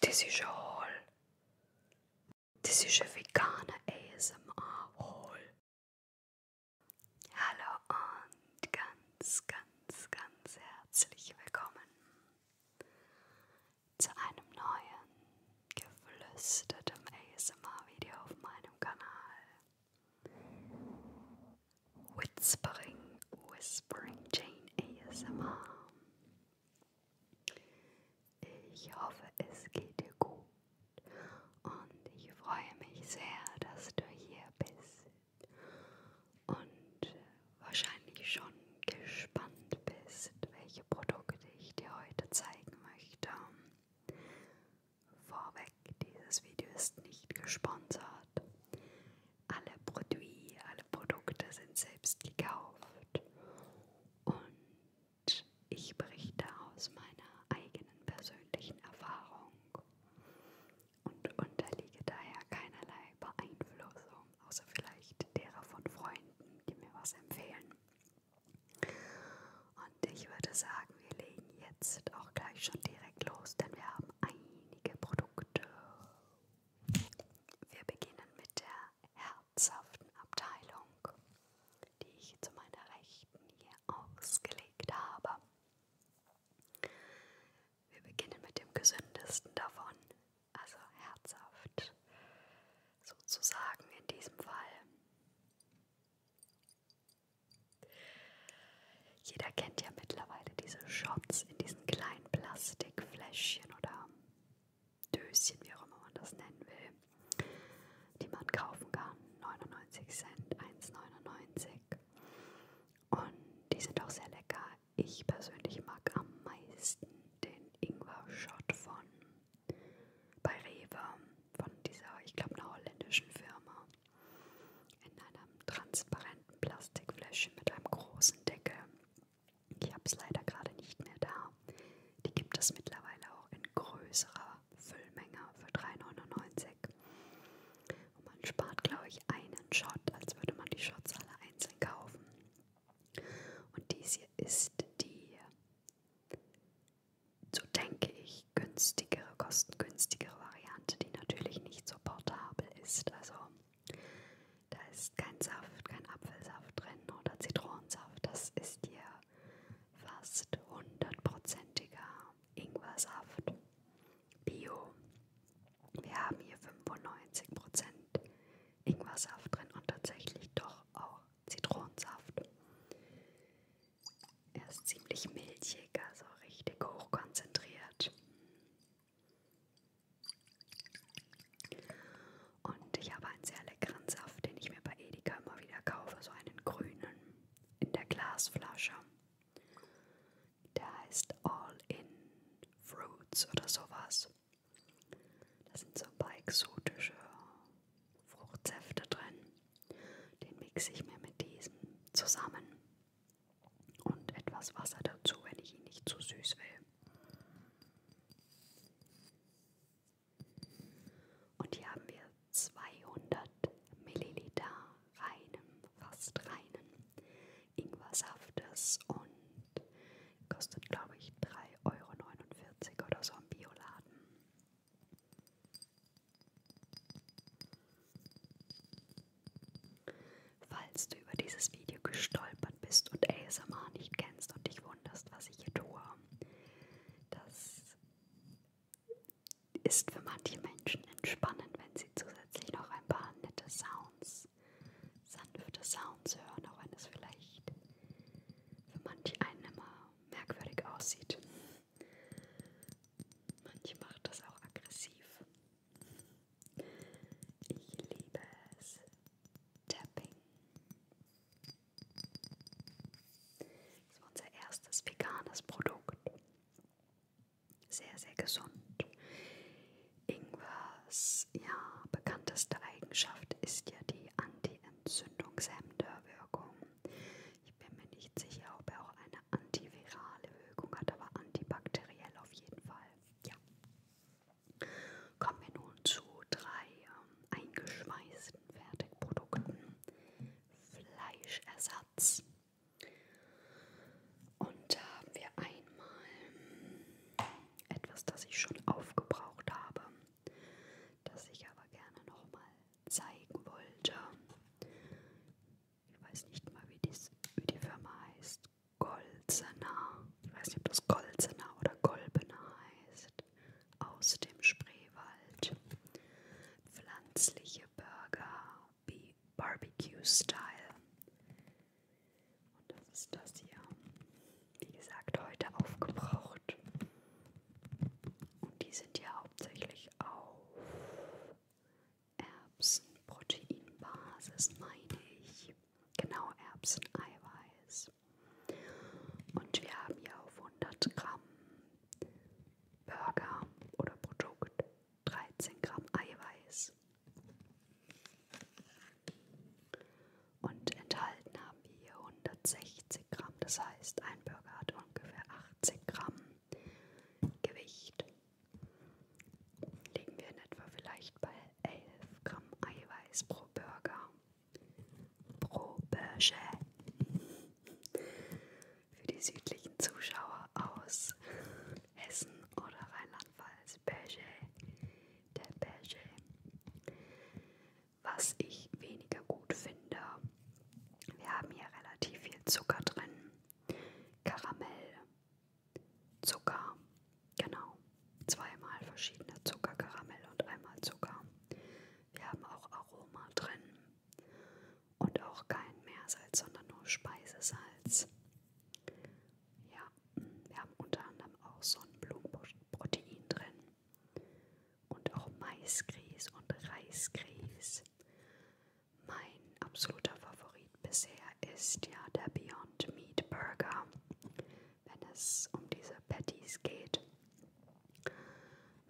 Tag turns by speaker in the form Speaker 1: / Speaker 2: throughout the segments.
Speaker 1: This is a haul. This is a vegane ASMR haul. Hallo und ganz, ganz, ganz herzlich willkommen zu einem neuen geflüstertem ASMR-Video auf meinem Kanal. Whispering, Whispering Jane ASMR. Ich hoffe, es geht dir gut und ich freue mich sehr, dass du hier bist und äh, wahrscheinlich schon gespannt bist, welche Produkte ich dir heute zeigen möchte. Vorweg, dieses Video ist nicht gesponsert. Alle Produi, alle Produkte sind selbst gekauft. Und ich berichte aus meiner eigenen persönlichen Erfahrung und unterliege daher keinerlei Beeinflussung, außer vielleicht derer von Freunden, die mir was empfehlen. Und ich würde sagen, wir legen jetzt auch gleich schon direkt los, denn wir haben einige Produkte. Wir beginnen mit der Herb schmerzhaften Abteilung, die ich zu meiner Rechten hier ausgelegt habe. Wir beginnen mit dem gesündesten davon, also herzhaft, sozusagen in diesem Fall. Jeder kennt ja mittlerweile diese Shots in diesen kleinen Plastikfläschchen oder Döschen, wie auch immer man das nennen will, die man kaufen kann. 99 Cent, 1,99. Und die sind auch sehr lecker. Ich persönlich mag am meisten den Ingwer-Shot von bei Rewe, von dieser, ich glaube, einer holländischen Firma. In einem transparenten Plastikfläschchen mit einem großen Deckel. Ich habe es leider gerade nicht mehr da. Die gibt es mittlerweile auch in größerer Füllmenge für 3,99. Und man spart, glaube ich, einen Shot, als würde man die Shots alle einzeln kaufen. Und dies hier ist die, so denke ich, günstigere, kostengünstigere Variante, die natürlich nicht so portabel ist. Also da ist kein Saft, kein Apfelsaft drin oder Zitronensaft. Das ist hier fast hundertprozentiger Ingwersaft. Bio. Wir haben hier 95% Ingwersaft drin und tatsächlich doch auch Zitronensaft. Er ist ziemlich milchig, also richtig hochkonzentriert. Und ich habe einen sehr leckeren Saft, den ich mir bei Edeka immer wieder kaufe, so einen grünen in der Glasflasche. Der heißt All in Fruits oder sowas. Da sind so ein paar exotische Fruchtsäfte drin. Den mixe ich mir mit diesem zusammen und etwas Wasser dazu, wenn ich ihn nicht zu süß will. Und hier haben wir 200 Milliliter reinem, fast reinen Ingwersaftes und kostet, glaube ich, 3,49 Euro oder so im Bioladen. Falls du über dieses Video gestolpert Deutschland bist und ASMR nicht kennst und dich wunderst, was ich hier tue. Das ist für manche Menschen entspannend, wenn sie zusätzlich noch ein paar nette Sounds, sanfte Sounds hören, auch wenn es vielleicht für manche einen immer merkwürdig aussieht. Manche macht das auch aggressiv. Ich liebe es, Tapping. Das war unser erstes veganes Produkt. Sehr, sehr gesund. Ingwers ja, bekannteste Eigenschaft ist ja die antientzündungshemmende Wirkung. Ich bin mir nicht sicher, ob er auch eine antivirale Wirkung hat, aber antibakteriell auf jeden Fall. Ja. Kommen wir nun zu drei ähm, eingeschweißten Fertigprodukten. Fleischersatz. Und da haben wir einmal hm, etwas, das ich schon aufgebraucht habe, das ich aber gerne nochmal zeigen wollte. Ich weiß nicht mal, wie, dies, wie die Firma heißt. Golzener, ich weiß nicht, ob das Golzener oder Golbener heißt, aus dem Spreewald. Pflanzliche Burger, B Barbecue Style. Und das ist das hier. Wie gesagt, heute aufgebraucht. Und die sind ja hauptsächlich auf Erbsenproteinbasis, meine ich. Genau, Erbseneiweiß. Und wir haben hier auf 100 Gramm Burger oder Produkt 13 Gramm Eiweiß. Und enthalten haben wir hier 160 Gramm, das heißt ein Burger hat ungefähr 80 Gramm Gewicht. Liegen wir in etwa vielleicht bei 11 Gramm Eiweiß pro Burger. Proberge für die südlichen Zuschauer aus Hessen oder Rheinland-Pfalz. Berge, der Berge. Was ich weniger gut finde, wir haben hier relativ viel Zucker drin, Karamell, Zucker, Genau, zweimal verschiedene Zuckerkaramell und einmal Zucker. Wir haben auch Aroma drin und auch kein Meersalz, sondern nur Speisesalz. Ja, wir haben unter anderem auch Sonnenblumenprotein drin und auch Maisgrieß und Reisgrieß. Mein absoluter Favorit bisher ist ja der Beyond Meat Burger wenn es um diese Patties geht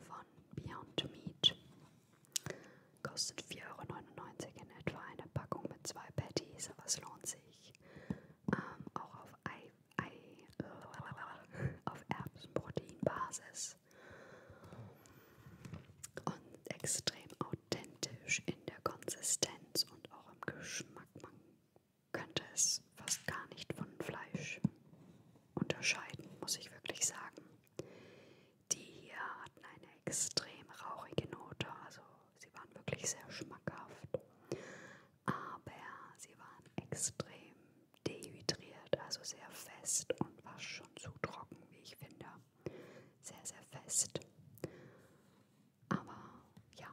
Speaker 1: von Beyond Meat. Kostet 4,99 Euro in etwa eine Packung mit zwei Patties, aber es lohnt sich. Ähm, auch auf, Ei, Ei, äh, auf Erbsenproteinbasis und extrem authentisch in der Konsistenz und auch im Geschmack. Man könnte es fast gar nicht von Fleisch unterscheiden, muss ich wirklich sagen. Die hier hatten eine extrem rauchige Note, also sie waren wirklich sehr schmackhaft, aber sie waren extrem dehydriert, also sehr fest und war schon zu trocken, wie ich finde. Sehr, sehr fest. Aber ja,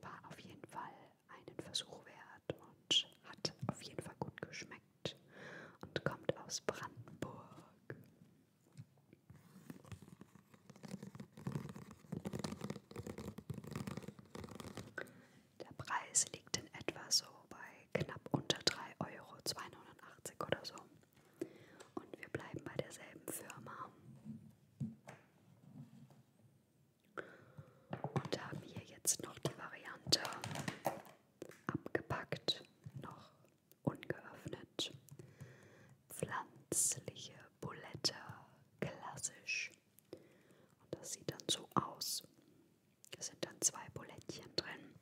Speaker 1: war auf jeden Fall einen Versuch wert und hat auf jeden Fall gut geschmeckt und kommt aus Brandenburg. Der Preis liegt in etwa so bei knapp unter 3 Euro, 2,89 oder so. Und wir bleiben bei derselben Firma. Und haben hier jetzt noch die Variante abgepackt, noch ungeöffnet. Pflanzliche Bulette, klassisch. Und das sieht dann so aus. Da sind dann zwei Bulettchen drin.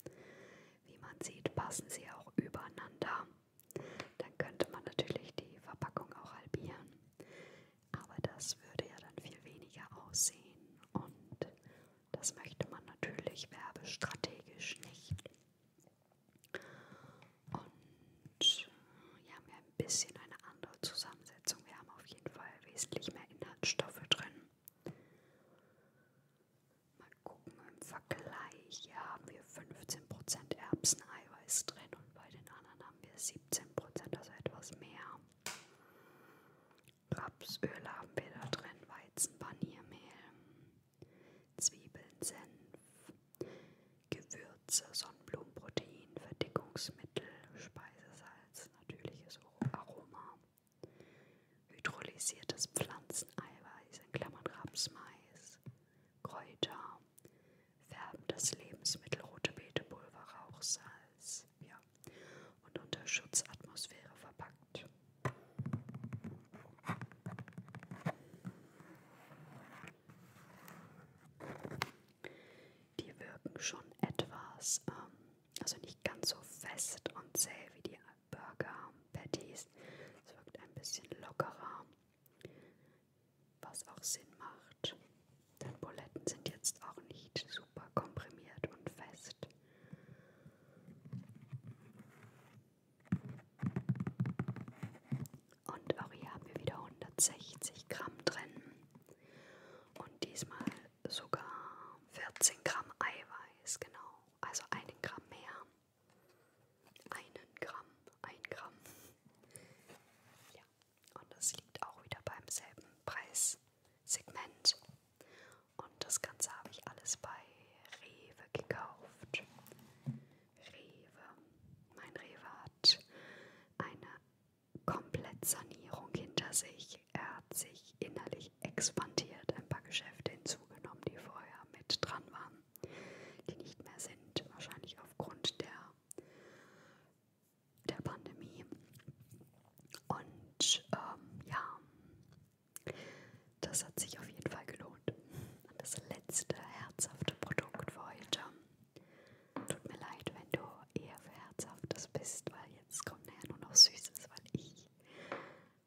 Speaker 1: Wie man sieht, passen sie auch übereinander. Dann könnte man natürlich die Verpackung auch halbieren. Aber das würde ja dann viel weniger aussehen und das möchte man natürlich werbestrategisch nicht. Und hier äh, haben wir ein bisschen eine andere Zusammensetzung. Wir haben auf jeden Fall wesentlich mehr Inhaltsstoffe drin. Mal gucken, im Vergleich hier haben wir 15% Erbseneiweiß drin und bei den anderen haben wir 17 Prozent, also etwas mehr. Rapsöl haben wir da drin, Weizenpaniermehl, Zwiebeln, Senf, Gewürze, Sonnenblumenprotein, Verdickungsmittel, Speisesalz, natürliches Aroma, hydrolysiertes Pflanzeneiweiß in Klammern Rapsmais, Kräuter, färben das Lebensmittel rote Beetepulver, Rauch, Salz ja, und unter Schutzatmosphäre verpackt. Die wirken schon etwas, ähm, also nicht ganz so fest und zäh wie die Burger Patties. Es wirkt ein bisschen lockerer was auch Sinn macht, denn Buletten sind jetzt auch nicht super komprimiert und fest. Und auch hier haben wir wieder 160 Gramm drin und diesmal sogar 14 Gramm Eiweiß, genau, also einen Gramm mehr. Einen Gramm, ein Gramm. Ja. Und das liegt auch wieder beim selben Preissegment. Und das Ganze habe ich alles bei Rewe gekauft. Rewe. Mein Rewe hat eine Komplettsanierung hinter sich. Er hat sich innerlich expandiert, ein paar Geschäfte hinzugenommen, die vorher mit dran waren, die nicht mehr sind, wahrscheinlich aufgrund der der Pandemie. Und ähm, ja, das hat sich auf jeden Fall gelohnt. Und das letzte herzhafte Produkt für heute. Tut mir leid, wenn du eher für Herzhaftes bist, weil jetzt kommt nachher nur noch Süßes, weil ich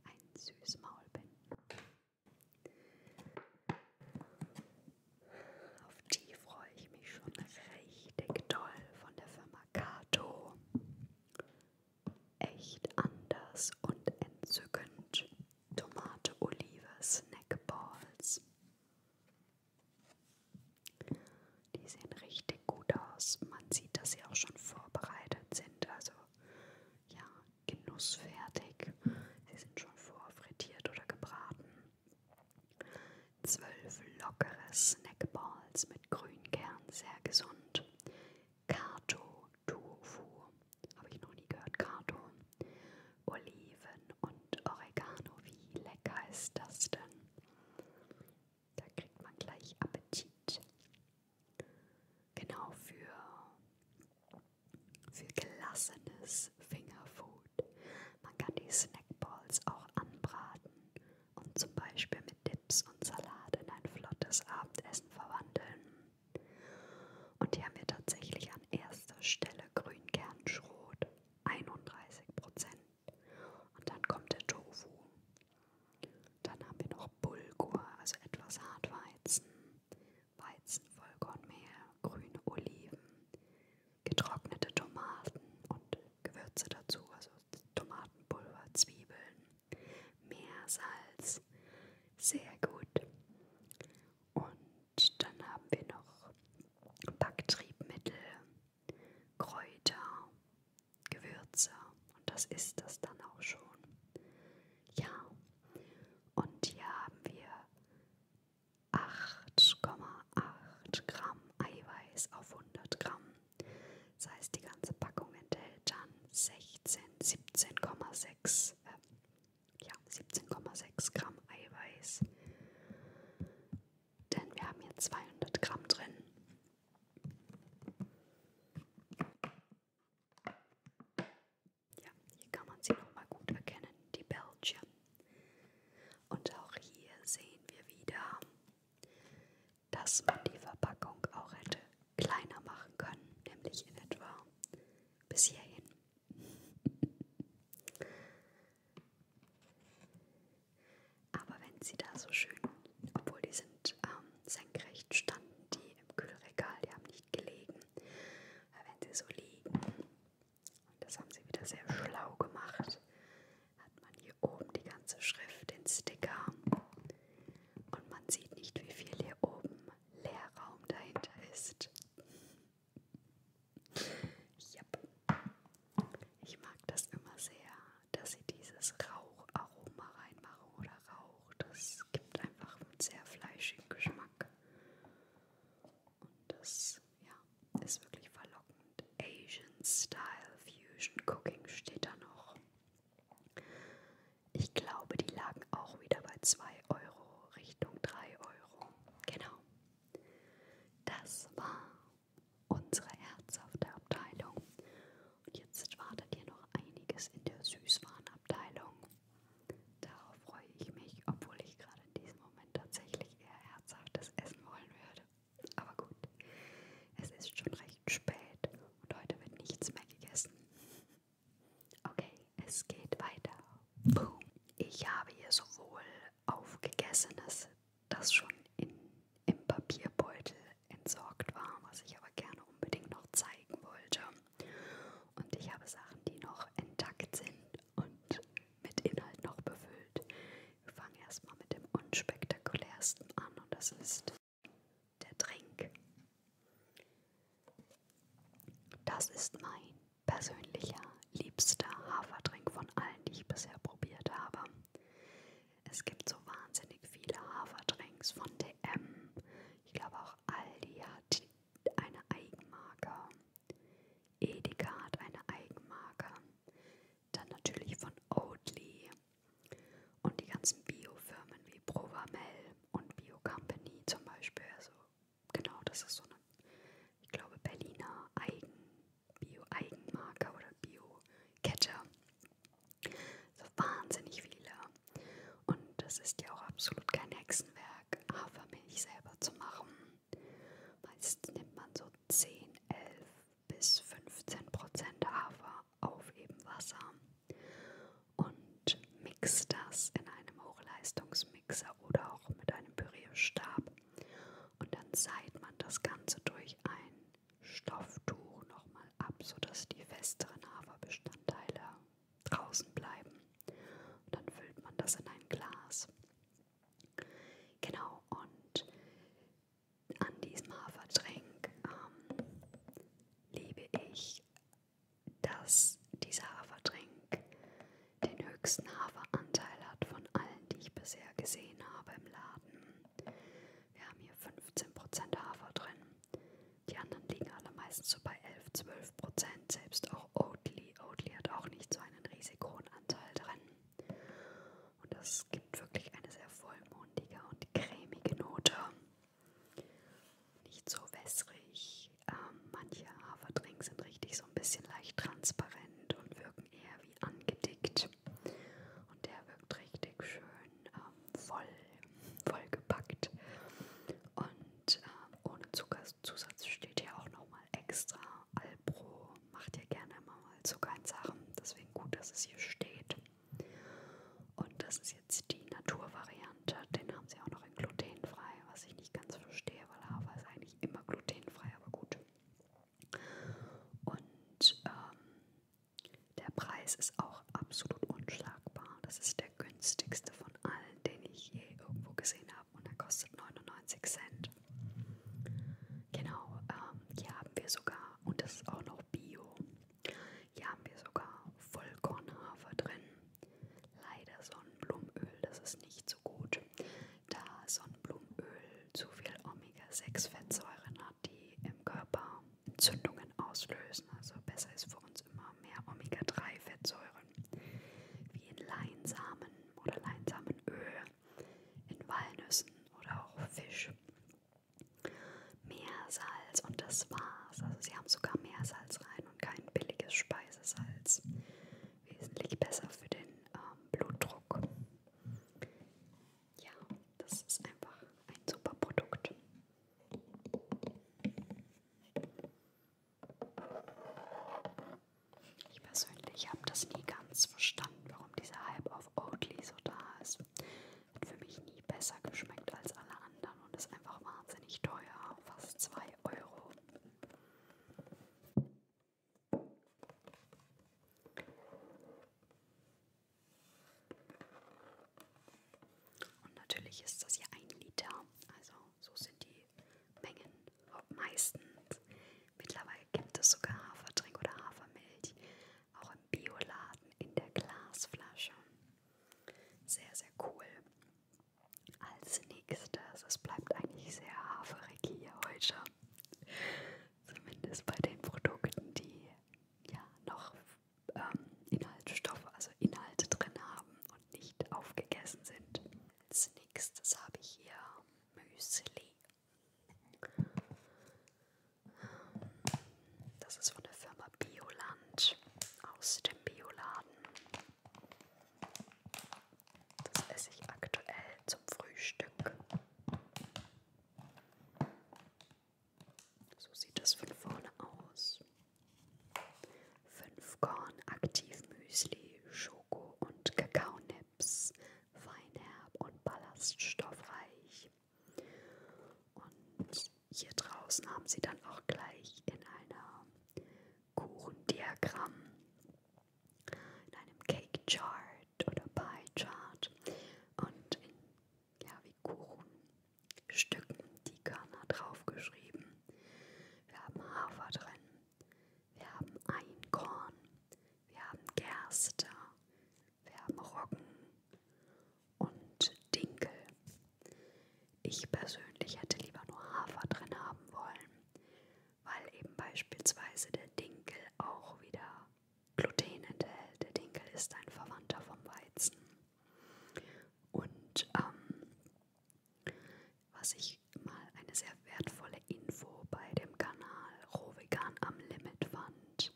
Speaker 1: ein süßes Maul bin. Auf die freue ich mich schon richtig toll von der Firma Kato. Echt anders und entzückend. Tomate, Olive, Snackballs. Die sehen richtig gut aus. Man sieht, dass sie auch schon vorbereitet sind. Also ja, genussfertig. Sie sind schon vorfrittiert oder gebraten. Zwölf lockere Snackballs mit Grünkern, sehr gesund. Kato Tofu, habe ich noch nie gehört, Kato. Oliven und Oregano, wie lecker ist das denn? Da kriegt man gleich Appetit. Genau für, für gelassenes Fingerfood. Man kann die Snackballs auch anbraten und zum Beispiel mit Dips und Salat in ein flottes Abendessen verwandeln. Und hier haben wir tatsächlich an erster Stelle Grünkernschrot, 31%. Und dann kommt der Tofu. Dann haben wir noch Bulgur, also etwas Hartweizen, Weizenvollkornmehl, grüne Oliven, getrocknete Tomaten und Gewürze dazu, also Tomatenpulver, Zwiebeln, Meersalz, sehr gut. Und dann haben wir noch Backtriebmittel, Kräuter, Gewürze und das ist das dann auch schon. Ja, und hier haben wir 8,8 Gramm Eiweiß auf 100 Gramm. Das heißt, die ganze Packung enthält dann 16, 17,6 äh, ja, 17,6 Gramm Eiweiß. Denn wir haben hier 200 Gramm drin. Ja, hier kann man sie nochmal gut erkennen, die Belgier. Und auch hier sehen wir wieder, dass man die Verpackung auch hätte kleiner machen können, nämlich in etwa bis hierhin. Aber wenn sie da so schön, obwohl die sind ähm, senkrecht standen, die im Kühlregal, die haben nicht gelegen, aber wenn sie so liegen, und das haben sie wieder sehr schlau gemacht. Hat man hier oben die ganze Schrift, den Sticker. Und man sieht nicht, wie viel hier oben Leerraum dahinter ist. Yep. Ich mag das immer sehr, dass sie dieses Raucharoma reinmachen oder Rauch. Das gibt einfach einen sehr fleischigen Geschmack. Und das ja, ist wirklich verlockend. Asian Style Fusion Cooking steht da noch. Ich glaube, die lagen auch wieder bei 2 Euro Richtung 3 Euro. Genau. Das war unsere herzhafte Abteilung. Und jetzt wartet hier noch einiges in der Süßwarenabteilung. Darauf freue ich mich, obwohl ich gerade in diesem Moment tatsächlich eher herzhaftes Essen wollen würde. Aber gut, es ist schon recht spät und heute wird nichts mehr gegessen. Okay, es geht weiter. Boom. Ich habe hier sowohl aufgegesenes, das schon in, im Papierbeutel entsorgt war, was ich aber gerne unbedingt noch zeigen wollte. Und ich habe Sachen, die noch intakt sind und mit Inhalt noch befüllt. Wir fangen erstmal mit dem unspektakulärsten an und das ist der Drink. Das ist mein persönlicher, liebster Haferdrink von allen, die ich bisher probiert habe. Es gibt so wahnsinnig viele Haferdrinks von DM. Ich glaube auch Aldi hat eine Eigenmarke. Edeka hat eine Eigenmarke dann natürlich von Oatly und die ganzen Biofirmen wie Provamel und Bio Company zum Beispiel. Also genau, das ist so eine, ich glaube, Berliner Eigen, Bio-Eigenmarke oder Bio-Kette. So wahnsinnig viele. Und das ist ja auch absolut kein Hexenwerk, Hafermilch selber zu machen. Meistens nimmt man so 10, 11 bis 15 Prozent Hafer auf eben Wasser und mixt das in einem Hochleistungsmixer oder auch mit einem Pürierstab. Und dann seit man das Ganze durch ein Stofftuch nochmal ab, sodass die festeren Haferbestandteile draußen bleiben. Und dann füllt man das in ein Glas Genau, und an diesem Hafertränk ähm, liebe ich, dass dieser Hafertränk den höchsten Haferanteil hat von allen, die ich bisher gesehen habe im Laden. Wir haben hier 15% Hafer drin. Die anderen liegen alle meistens so bei 11-12%, selbst auch Oatly. Oatly hat auch nicht so einen riesig hohen Anteil drin. Und das gibt wirklich eine sehr vollmundige und cremige Note. Nicht so wässrig. Ähm, manche Haferdrinks sind richtig so ein bisschen leicht transparent und wirken eher wie angedickt. Und der wirkt richtig schön ähm, voll, vollgepackt. Und ähm, ohne Zuckerzusatz steht hier auch nochmal extra Alpro macht ja gerne immer mal zu keinen Sachen, deswegen gut, dass es hier steht. Und das ist jetzt die Naturvariante, den haben sie auch noch in glutenfrei, was ich nicht ganz verstehe, weil Hafer ist eigentlich immer glutenfrei, aber gut. Und ähm, der Preis ist auch absolut unschlagbar. Das ist der günstigste von allen, den ich je irgendwo gesehen habe und er kostet 99 Cent. Genau, ähm, hier haben wir sogar, und das ist auch noch Bio, hier haben wir sogar Vollkornhafer drin. Leider Sonnenblumenöl, das ist nicht so gut, da Sonnenblumenöl zu viel Omega-6-Fettsäuren hat, die im Körper Entzündungen auslösen. Also besser ist für uns immer mehr Omega-3-Fettsäuren, wie in Leinsamen oder Leinsamenöl in Walnüssen oder auch Fisch. Meersalz und das war's. Also sie haben sogar Meersalz rein und kein billiges Speisesalz. Wesentlich besser für den ähm, Blutdruck. Ja, das ist einfach ein super Produkt. Ich persönlich habe das nie ganz verstanden, warum dieser Hype auf Oatly so da ist. Hat für mich nie besser geschmeckt als alle anderen und ist einfach wahnsinnig teuer, fast 2 Euro. Und natürlich ist das hier ein Liter, also so sind die Mengen meistens. Mittlerweile gibt es sogar Hafertrink oder Hafermilch, auch im Bioladen in der Glasflasche. Sehr, sehr cool. Als nächstes, es bleibt eigentlich sehr haferig hier heute. Zumindest bei den Produkten, die ja noch ähm, Inhaltsstoffe, also Inhalte drin haben und nicht aufgegessen sind. Als nächstes habe ich hier Müsli das ist von der Firma Bioland aus dem Bioladen. Das esse ich aktuell zum Frühstück. So sieht das von vorne aus. 5 Korn Aktiv Müsli, Schoko und Kakaonip. Snaps, feinherb und ballaststoffreich. Und hier draußen haben sie dann auch gleich in einer Kuchendiagramm, in einem Cake Chart oder Pie Chart und in, ja, wie Kuchenstücken die Körner draufgeschrieben. Wir haben Hafer drin, wir haben Einkorn, wir haben Gerste, wir haben Roggen und Dinkel. Ich persönlich hätte lieber nur Hafer drin haben wollen, weil eben beispielsweise der Dinkel auch wieder Gluten enthält. Der Dinkel ist ein Verwandter vom Weizen. Und ähm, was ich mal eine sehr wertvolle Info bei dem Kanal Rohvegan am Limit fand.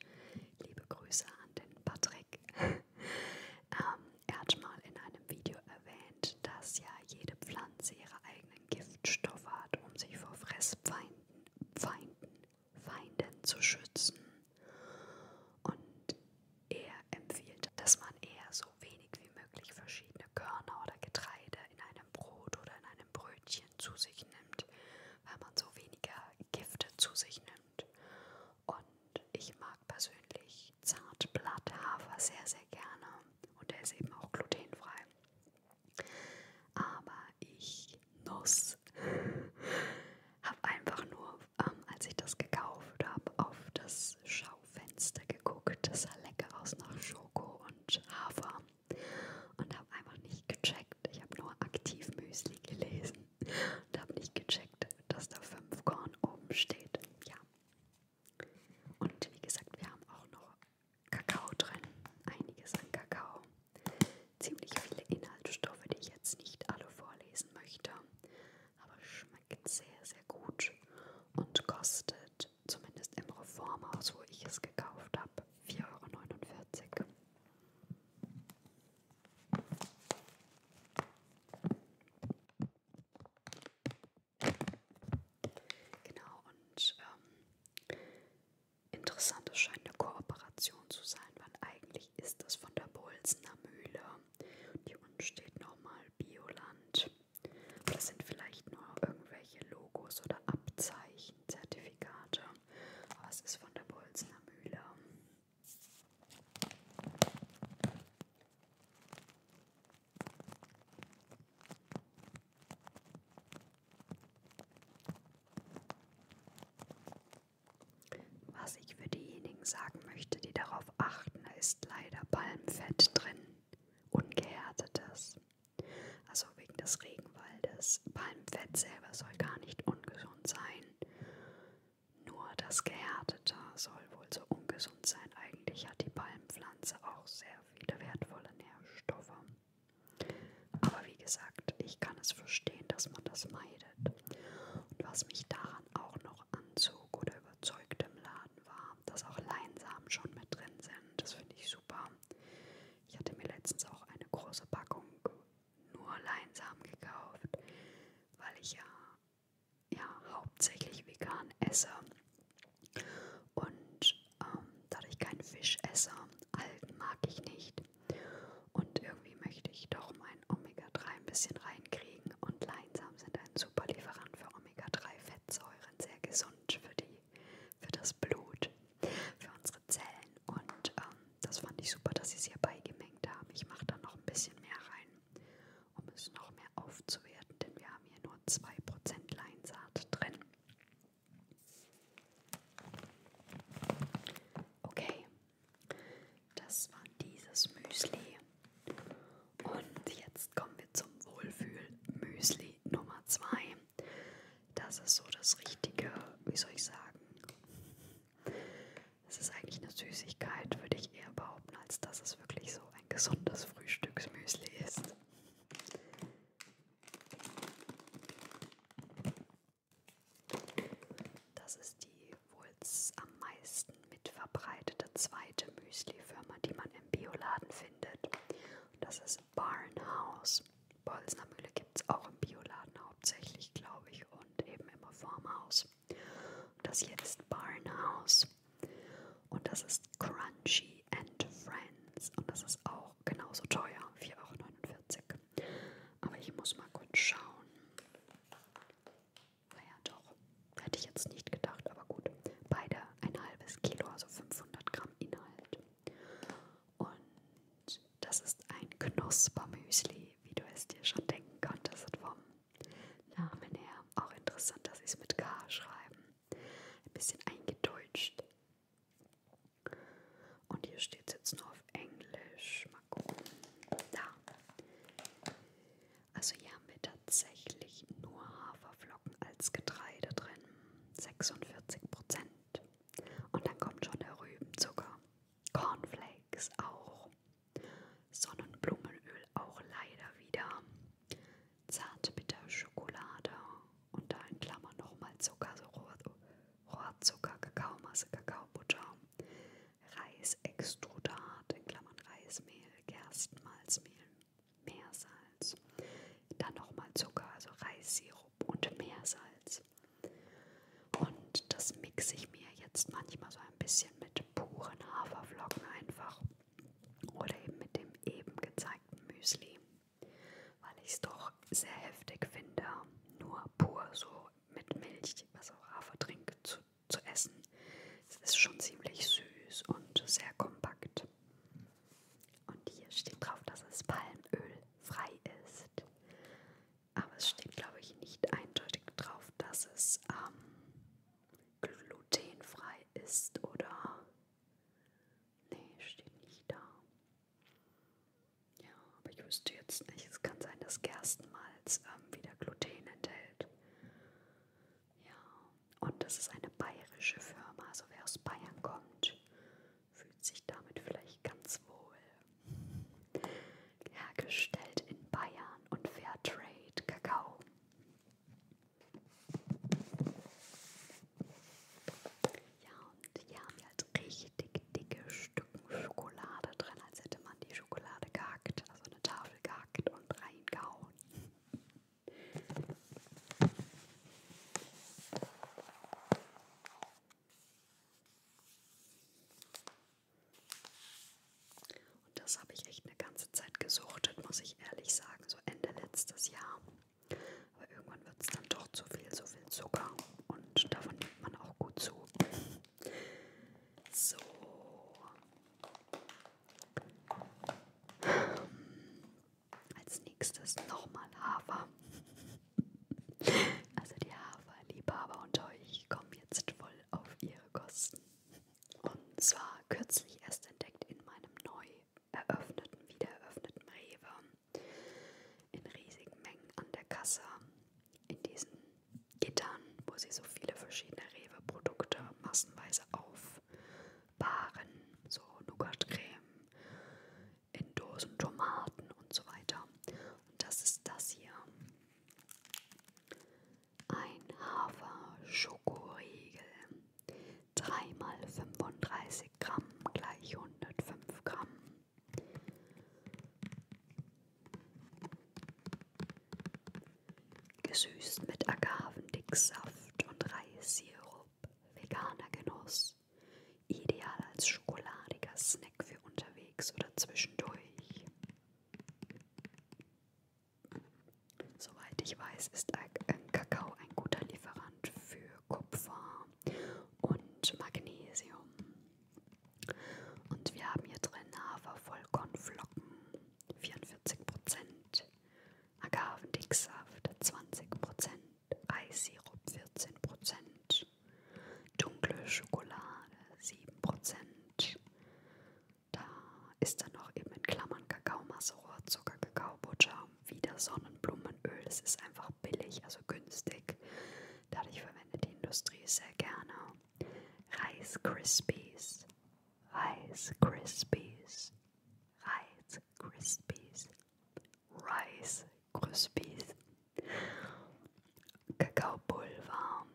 Speaker 1: Liebe Grüße an den Patrick. ähm, er hat mal in einem Video erwähnt, dass ja jede Pflanze ihre eigenen Giftstoffe hat, um sich vor Fressfeinden, Feinden, Feinden zu schützen. Und er empfiehlt, dass man eher so wenig wie möglich verschiedene Körner oder Getreide in einem Brot oder in einem Brötchen zu sich nimmt, weil man so weniger Gifte zu sich nimmt. Und ich mag persönlich Zartblatthafer sehr, sehr gerne. Und der ist eben auch glutenfrei. Aber ich nuss. habe einfach nur, ähm, als ich das gekauft habe, auf das Schaufenster geguckt. Das sah lecker aus nach Schoko und Hafer und habe einfach nicht gecheckt. Ich habe nur aktiv Müsli gelesen und habe nicht gecheckt, dass da 5 Korn oben steht. Ja. Und wie gesagt, wir haben auch noch Kakao drin. Einiges an Kakao. Ziemlich viele Inhaltsstoffe, die ich jetzt nicht alle vorlesen möchte. Aber schmeckt sehr, sehr gut und kostet, zumindest im Reformhaus, wo ich es gekauft habe, 4,49 Euro. Genau, und ähm, interessant, es scheint eine Kooperation zu sein, weil eigentlich ist das von der Bolsener Mühle. Und hier unten steht nochmal Bioland. Das sind vielleicht nur irgendwelche Logos oder Abzeichen, Zertifikate. Oh, es ist von der Bolzner Mühle. Was ich für diejenigen sagen möchte, die darauf achten, ist leider Palmfett drin, ungehärtetes. Also wegen des Regenwaldes. Palmfett selber soll gar nicht ungesund sein. Nur das Gehärtete soll wohl so ungesund sein. Eigentlich hat die Palmpflanze auch sehr viele wertvolle Nährstoffe. Aber wie gesagt, ich kann es verstehen, dass man das meidet. Und was mich daran auch noch anzog oder überzeugte im Laden war, dass auch Leinsamen schon mit drin sind. Das finde ich super. Ich hatte mir letztens auch eine große Packung nur Leinsamen gekauft, weil ich ja, ja hauptsächlich vegan esse und ähm, dadurch keinen Fisch esse. Algen mag ich nicht. Und irgendwie möchte ich doch mein Omega-3 ein bisschen reinkriegen. Und Leinsamen sind ein super Lieferant für Omega-3-Fettsäuren, sehr gesund für, die, für das Blut für unsere Zellen. Und ähm, das fand ich super, dass sie es hier beigemengt haben. Ich mache da noch ein bisschen mehr rein, um es noch mehr aufzuwerten, denn wir haben hier nur 2% Leinsaat drin. Okay, das war dieses Müsli. Und jetzt kommen wir zum Wohlfühl-Müsli Nummer 2. Das ist so das Richtige, wie soll ich sagen? Es ist eigentlich eine Süßigkeit, würde ich eher behaupten, als dass es wirklich so ein gesundes Frühstücksmüsli ist. Das ist die wohl am meisten mitverbreitete zweite Müslifirma, die man im Bioladen findet. Und das ist Barnhouse. Bolzner Mühle gibt es auch im Bioladen hauptsächlich, glaube ich, und eben immer Farmhaus. Und das hier ist Barnhouse. Und das ist Crunchy and Friends. Und das ist auch genauso teuer, 4,49 Euro. Aber ich muss mal kurz schauen. Naja, doch. Hätte ich jetzt nicht gedacht, aber gut. Beide ein halbes Kilo, also 500 Gramm Inhalt. Und das ist ein Knuspermüsli, wie du es dir schon denken konntest vom Namen her. Auch interessant, dass sie es mit K schreiben. Ein bisschen eingedeutscht. Und hier steht es jetzt nur auf Englisch. Mal gucken. Da. Also hier haben wir tatsächlich nur Haferflocken als Getreide drin. 46 Prozent. Und dann kommt schon der Rübenzucker. Cornflakes auch. Sonnenblumenöl auch leider wieder. Zartbitter Schokolade und da in Klammern nochmal Zucker, so Rohr, Rohrzucker, Kakaomasse, Kakaobutter. Reisextrudat, in Klammern Reismehl, Gerstenmalzmehl, Meersalz. Dann nochmal Zucker, also Reissirup und Meersalz. Und das mixe ich mir jetzt manchmal so ein bisschen mit puren Haferflocken einfach oder eben mit dem eben gezeigten Müsli, weil ich es doch sehr heftig finde, nur pur so mit Milch, also Hafertrink zu, zu essen. Es ist schon ziemlich süß und sehr kompakt. Und hier steht drauf, dass es Palmöl frei ist. Aber es steht, glaube ich, nicht eindeutig drauf, dass es ähm, glutenfrei ist oder. Nee, steht nicht da. Ja, aber ich wüsste jetzt nicht. Es kann sein, dass Gerstenmalz ähm, wieder Gluten enthält. Ja, und das ist eine bayerische Firma, also wer aus Bayern kommt, fühlt sich damit vielleicht ganz wohl. Hergestellt in Bayern und Fairtrade Kakao. Ja, und hier haben wir halt richtig dicke Stücken Schokolade drin, als hätte man die Schokolade gehackt, also eine Tafel gehackt und reingehauen. Und das habe ich echt eine ganze Zeit gesuchtet, muss ich ehrlich sagen, so Ende letztes Jahr. Aber irgendwann wird es dann doch zu viel, so viel Zucker und davon nimmt man auch gut zu. So. Als nächstes nochmal Hafer. Also die Haferliebhaber unter euch kommen jetzt voll auf ihre Kosten. Und zwar kürzlich erst entdeckt in meinem neu eröffneten, wieder eröffneten Rewe. In riesigen Mengen an der Kasse. In diesen Gittern, wo sie so viele verschiedene Rewe-Produkte massenweise aufbahren. So Nougatcreme, in Dosen Tomaten und so weiter. Und das ist das hier. Ein Hafer-Schokoriegel. 3 mal 35 Gramm gleich 105 Gramm. Gesüßt mit Agavendicksaft und Reissirup. Veganer Genuss. Ideal als schokoladiger Snack für unterwegs oder zwischendurch. Soweit ich weiß, ist ähm, Kakao ein guter Lieferant für Kupfer und Magnesium. Und wir haben hier drin Hafervollkornflocken, 44%, Agavendicksaft, 20%. Eissirup 14%, dunkle Schokolade 7%. Da ist dann noch eben in Klammern Kakaomasse, Rohrzucker, Kakaobutter, wieder Sonnenblumenöl. Das ist einfach billig, also günstig. Dadurch verwendet die Industrie es sehr gerne. Rice Krispies, Rice Krispies, Rice Krispies, Rice Krispies, Kakaopulver,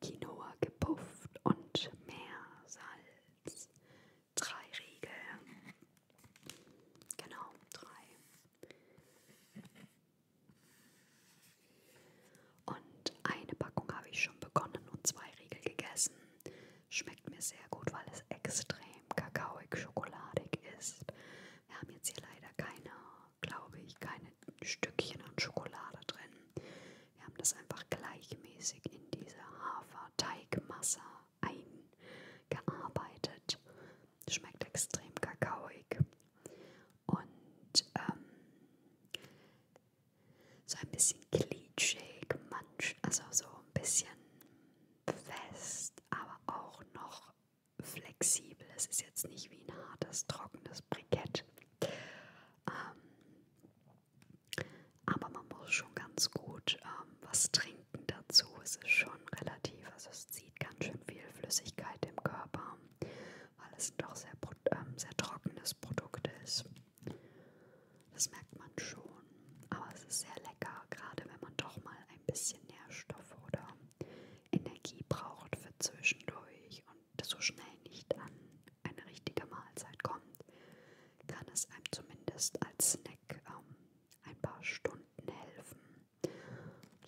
Speaker 1: Quinoa gepufft und mehr Salz. Drei Riegel. Genau, drei. Und eine Packung habe ich schon begonnen und zwei Riegel gegessen. Schmeckt mir sehr gut, weil es extrem kakaoig, schokoladig ist. Wir haben jetzt hier leider keine, glaube ich, keine Stückchen an Schokolade drin. Wir haben das einfach gleichmäßig in diese Haferteigmasse eingearbeitet. Schmeckt extrem kakaoig. Und ähm, so ein bisschen klitschig, manch, also so ein bisschen fest, aber auch noch flexibel. Es ist jetzt nicht wie ein hartes, trockenes Brikett. Ähm, aber man muss schon ganz gut ähm, was trinken dazu. Es ist schon relativ, also es zieht ganz schön viel Flüssigkeit im Körper, weil es doch sehr, ähm, sehr trockenes Produkt ist. Das merkt man schon. Aber es ist sehr lecker, gerade wenn man doch mal ein bisschen Nährstoff oder Energie braucht für zwischendurch und so schnell nicht an eine richtige Mahlzeit kommt, kann es einem zumindest als Snack ähm, ein paar Stunden helfen.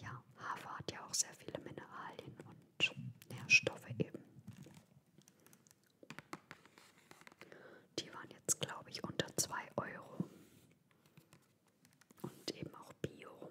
Speaker 1: Ja, Hafer hat ja auch sehr viele Mineralien und Nährstoffe eben. Die waren jetzt, glaube ich, unter 2 Euro und eben auch Bio.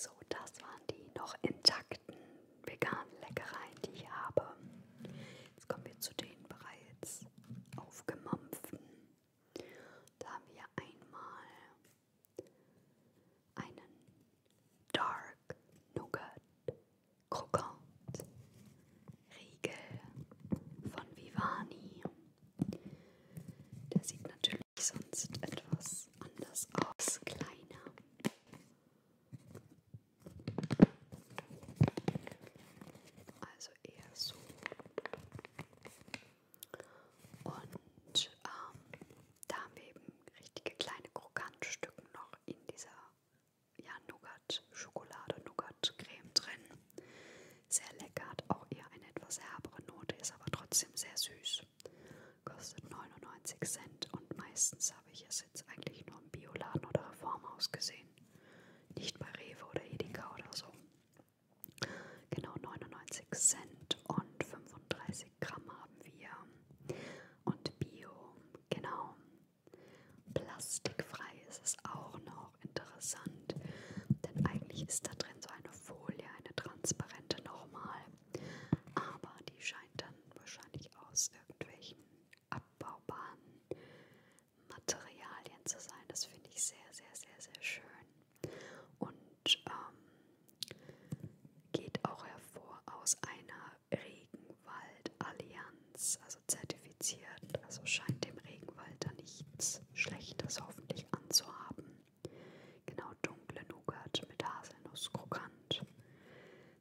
Speaker 1: So, das waren die noch intakten veganen Leckereien, die ich habe. Jetzt kommen wir zu den bereits aufgemampften. Da haben wir einmal einen Dark Nougat Krokant Riegel von Vivani. Der sieht natürlich sonst etwas anders aus, kleiner. Also eher so und ähm, da haben wir eben richtige kleine Krokantstücken noch in dieser ja, Nougat-Schokolade, Nougat-Creme drin. Sehr lecker, hat auch eher eine etwas herbere Note, ist aber trotzdem sehr süß. Kostet 99 Cent und meistens habe ich es jetzt eigentlich nur im Bioladen oder Reformhaus gesehen. Nicht bei Rewe oder Edeka oder so. Genau 99 Cent und 35 Gramm haben wir. Und Bio, genau. Plastikfrei ist es auch noch interessant, denn eigentlich ist da drin so eine Folie, eine transparente nochmal. Aber die scheint dann wahrscheinlich aus irgendwelchen abbaubaren Materialien zu sein. Das finde ich sehr, sehr, sehr, sehr schön. Und ähm, geht auch hervor aus einer Regenwaldallianz, also zertifiziert. Also scheint dem Regenwald da nichts Schlechtes hoffentlich anzuhaben. Genau, dunkle Nougat mit Haselnusskrokant.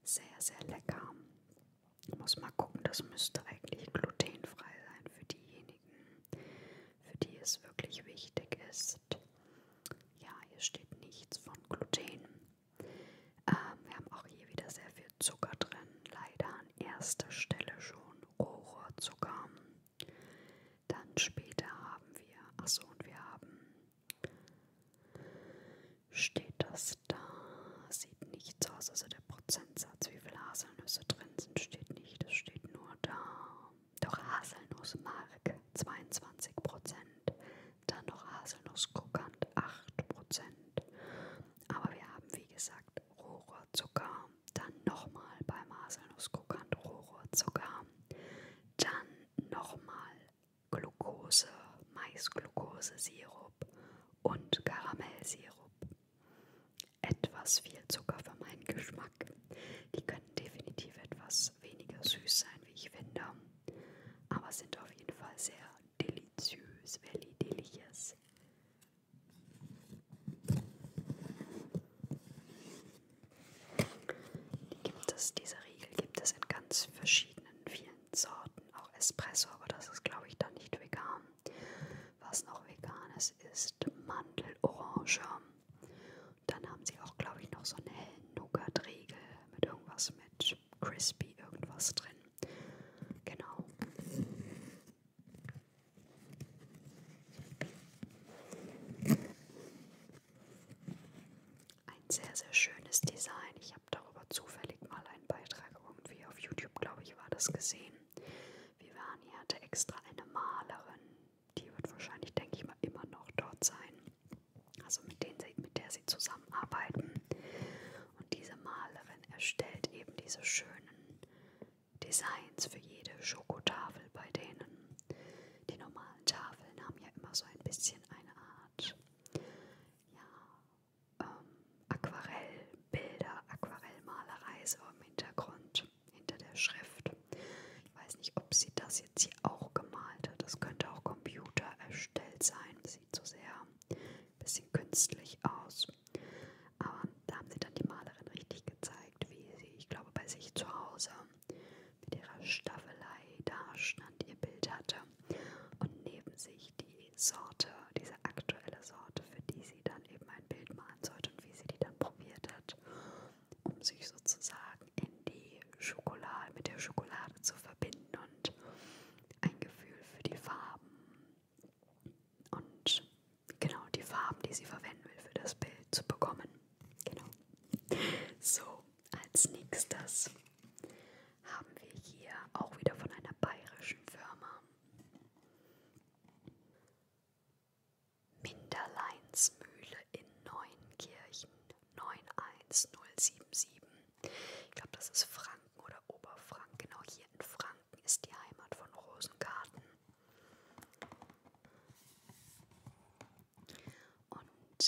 Speaker 1: Sehr, sehr lecker. Muss mal gucken, das müsste eigentlich glutenfrei sein für diejenigen, für die es wirklich wichtig ist. Ja, hier steht nichts von Gluten. Ähm, wir haben auch hier wieder sehr viel Zucker drin. Leider an erster Stelle schon Rohrohrzucker. Dann später haben wir, achso, und wir haben, steht das da, sieht nichts aus, also der Prozess Prozentsatz, wie viele Haselnüsse drin sind, steht nicht. Es steht nur da. Doch Haselnussmark 22 Prozent. Dann noch Haselnusskrokant 8 Prozent. Aber wir haben, wie gesagt, Rohrzucker. Dann nochmal beim Haselnusskrokant Rohrzucker. Dann nochmal Glucose, Maisglukosesirup und Karamellsirup etwas viel Zucker für meinen Geschmack. Die können definitiv etwas weniger süß sein, wie ich finde, aber sind auf jeden Fall sehr deliziös, very delicious. Die gibt es, diese Riegel gibt es in ganz verschiedenen, vielen Sorten, auch Espresso, aber das ist glaube ich dann nicht vegan. Was noch vegan ist, ist ist Mandelorange. Dann haben sie auch, glaube ich, noch so einen hellen Nougat-Riegel mit irgendwas mit Crispy irgendwas drin. Genau. Ein sehr, sehr schönes Design. Ich habe darüber zufällig mal einen Beitrag irgendwie auf YouTube, glaube ich, war das gesehen. Vivani hatte extra eine Malerin. Die wird wahrscheinlich, denke ich mal, immer noch dort sein. Also mit, denen sie, mit der sie zusammenarbeiten. Und diese Malerin erstellt eben diese schönen Designs für jede Schokotafel bei denen. Die normalen Tafeln haben ja immer so ein bisschen eine Art ja, ähm, Aquarellbilder, Aquarellmalerei so im Hintergrund hinter der Schrift. Ich weiß nicht, ob sie das jetzt hier auch gemalt hat. Das könnte auch Computer erstellt sein. Das sieht so sehr ein bisschen künstlich aus. Aber da haben sie dann die Malerin richtig gezeigt, wie sie, ich glaube, bei sich zu Hause mit ihrer Staffelei da stand, ihr Bild hatte und neben sich die Sorte, diese aktuelle Sorte, für die sie dann eben ein Bild malen sollte und wie sie die dann probiert wird, um sich sozusagen in die Schokolade mit der Schokolade zu verbinden und ein Gefühl für die Farben und genau die Farben, die sie verwenden will für das Bild zu bekommen. Genau. So, als nächstes haben wir hier auch wieder von einer bayerischen Firma Minderleinsmühle in Neunkirchen 91077. Ich glaube, das ist Franken oder Oberfranken. Genau hier in Franken ist die Heimat von Rosengarten. Und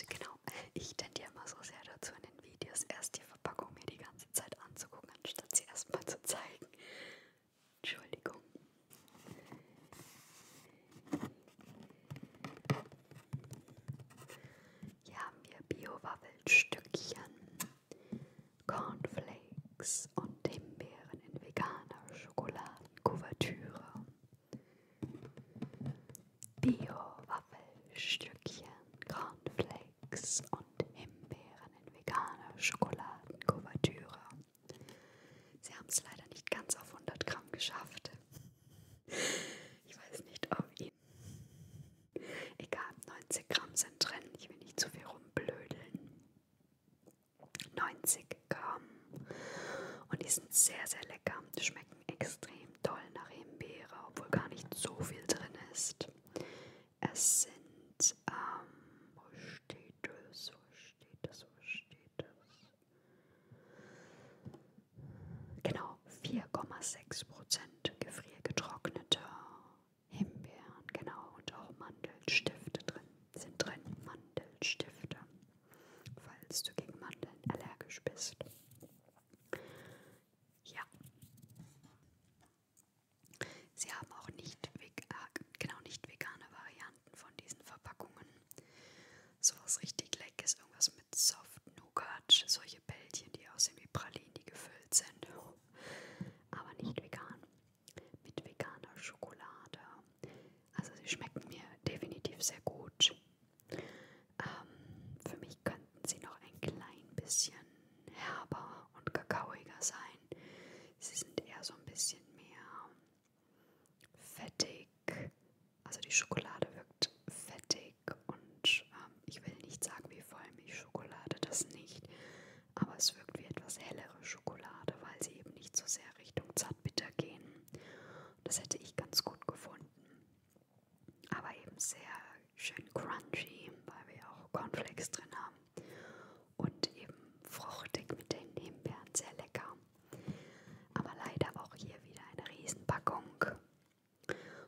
Speaker 1: genau, ich tendiere immer so sehr dazu in den Videos, erst die Verpackung mir die ganze Zeit anzugucken, anstatt sie erstmal zu zeigen. Entschuldigung. Hier haben wir Bio-Waffelstückchen, Cornflakes und Himbeeren in veganer Schokoladenkuvertüre. Bio-Waffelstückchen, Cornflakes und Himbeeren in veganer Schokoladenkuvertüre. Sie haben es leider nicht ganz auf 100 Gramm geschafft. Ich weiß nicht, ob Ihnen. Egal, 90 Gramm sind drin. Ich will nicht zu viel rumblödeln. 90 Gramm. Und die sind sehr, sehr lecker. Die schmecken extrem toll nach Himbeere, obwohl gar nicht so viel drin ist. Es sind ähm, wo steht das? Wo steht das, wo steht das? Genau, 4,6 Prozent gefriergetrockneter Himbeeren, genau, und auch Mandelstifte drin, sind drin Mandelstifte, falls du gegen Mandeln allergisch bist. Ja. Sie haben auch nicht, äh, genau, nicht vegane Varianten Varianten von diesen Verpackungen. So was richtig leckeres, irgendwas mit Soft Nougat, solche Bällchen, die aussehen wie Pralinen, die gefüllt sind. Aber nicht vegan. Mit veganer Schokolade. Also sie schmecken mir definitiv sehr gut. Ähm, für mich könnten sie noch ein klein bisschen herber und kakaoiger sein. Sie sind eher so ein bisschen mehr fettig. Also die Schokolade wirkt fettig und ähm, ich will nicht sagen wie Vollmilchschokolade, das nicht. Aber es wirkt wie etwas hellere Schokolade, weil sie eben nicht so sehr Richtung zartbitter gehen. Das hätte ich ganz gut gefunden. Aber eben sehr schön crunchy, weil wir auch Cornflakes drin haben und eben fruchtig mit den Himbeeren, sehr lecker. Aber leider auch hier wieder eine Riesenpackung.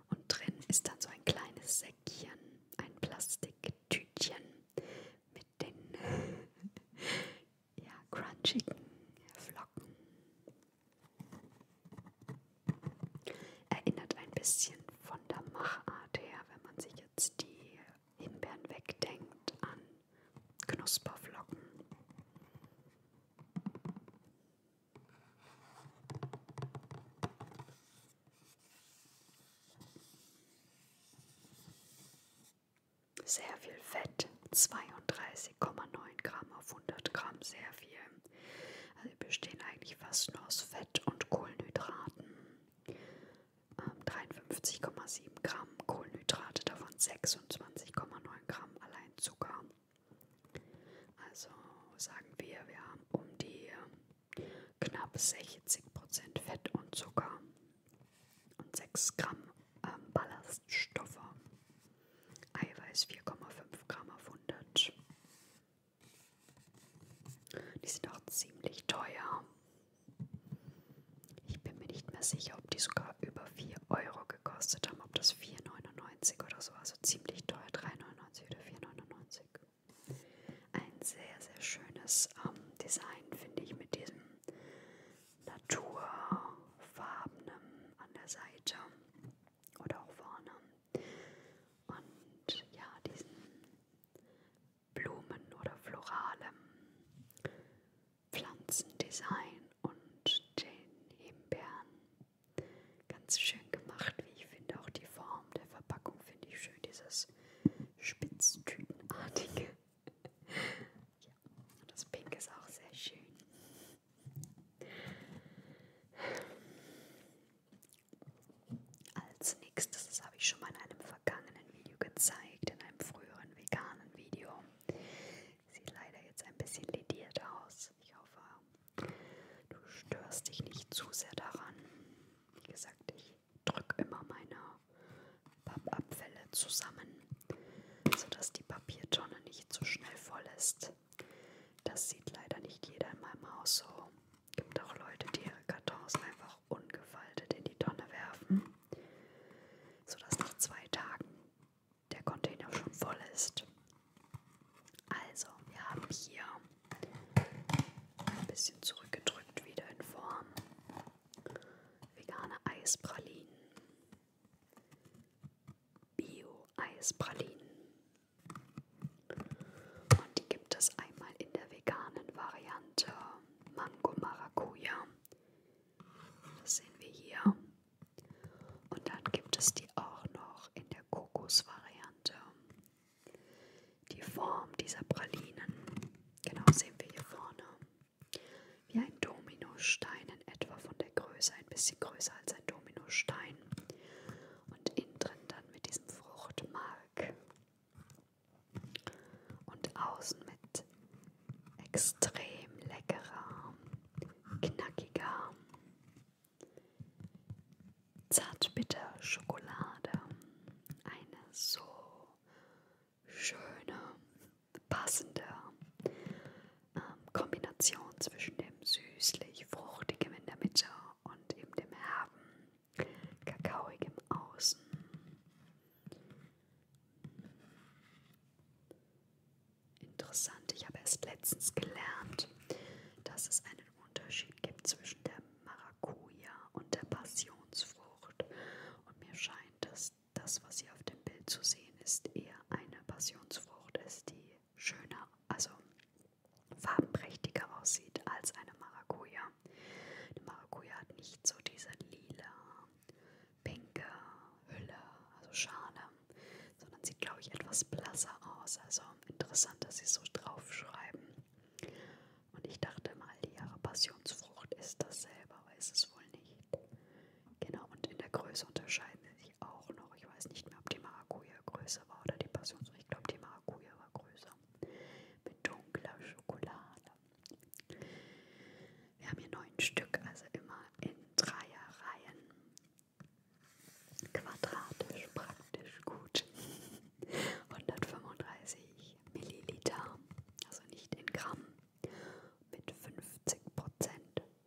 Speaker 1: Und drin ist dann so ein kleines Säckchen, ein Plastiktütchen mit den ja, crunchigen Flocken. Erinnert ein bisschen von der Machart her, wenn man sich jetzt die Himbeeren wegdenkt, an Knusperflocken. Sehr viel Fett, 32,9 Gramm auf 100 Gramm, sehr viel. Also die bestehen eigentlich fast nur aus Fett und Kohlenhydraten. 53,7 ähm, Gramm Kohlenhydrate, davon 26,9 Gramm allein Zucker. Also sagen wir, wir haben um die äh, knapp 60% Fett und Zucker und 6 Gramm ähm, Ballaststoffe. Eiweiß 4,5 Gramm auf 100. Die sind auch ziemlich teuer. Ich bin mir nicht mehr sicher, ob die sogar über 4 Euro gekostet haben, ob das 4,99 oder so, also ziemlich teuer, 3,99 oder 4,99. Ein sehr, sehr schönes ähm, Design, finde ich, mit diesem naturfarbenen an der Seite oder auch vorne. Und ja, diesen Blumen oder floralem Pflanzendesign und den Himbeeren. Ganz schön gemacht, wie ich finde. Auch die Form der Verpackung finde ich schön. Dieses Spitztütenartige. ja, und das Pink ist auch sehr schön. Als nächstes, das habe ich schon mal in einem vergangenen Video gezeigt gezeigt in einem früheren veganen Video. Sieht leider jetzt ein bisschen lediert aus. Ich hoffe, du störst dich nicht zu sehr daran. Wie gesagt, ich drücke immer meine Pappabfälle zusammen, sodass die Papiertonne nicht so schnell voll ist. Das sieht leider nicht jeder in meinem Haus so. Es gibt auch Leute, die ihre Kartons einfach auch ungefaltet in die Tonne werfen, sodass nach zwei Tagen der Container schon voll ist. Also, wir haben hier ein bisschen zurückgedrückt wieder in Form vegane Eispralinen, Bio-Eispralinen. Und die gibt es einmal in der veganen Variante Mango Maracuja, das sehen wir hier. Und dann gibt es die auch noch in der Kokosvariante. Die Form dieser Pralinen, genau sehen wir hier vorne. Wie ein Dominostein in etwa von der Größe, ein bisschen größer als ein Dominostein. Und innen drin dann mit diesem Fruchtmark und außen mit extrem leckerer, knackiger, zartbitter Schokolade. Eine so schöne, passende ähm, Kombination zwischen dem süßlich-fruchtigen in der Mitte und eben dem herben, kakaoig im Außen. Interessant, ich habe erst letztens gelernt, dass es einen Unterschied gibt zwischen der Maracuja und der Passionsfrucht. Und mir scheint, dass das, was hier auf dem Bild zu sehen ist, eher eine Passionsfrucht ist, die schöner, also farbenprächtiger aussieht als eine Maracuja. Eine Maracuja hat nicht so diese lila pinke Hülle, also Schale, sondern sieht, glaube ich, etwas blasser aus. Also interessant, dass sie so draufschreiben. Und ich dachte mal, die Jahre Passionsfrucht ist dasselbe, aber ist es wohl nicht. Genau, und in der Größe unterscheiden sie sich auch noch. Ich weiß nicht mehr, ob die Maracuja größer war oder die Passionsfrucht. Ich glaube, die Maracuja war größer. Mit dunkler Schokolade. Wir haben hier neun Stück, also immer in Dreierreihen. Quadratisch praktisch gut. 135 Milliliter, also nicht in Gramm, mit 50%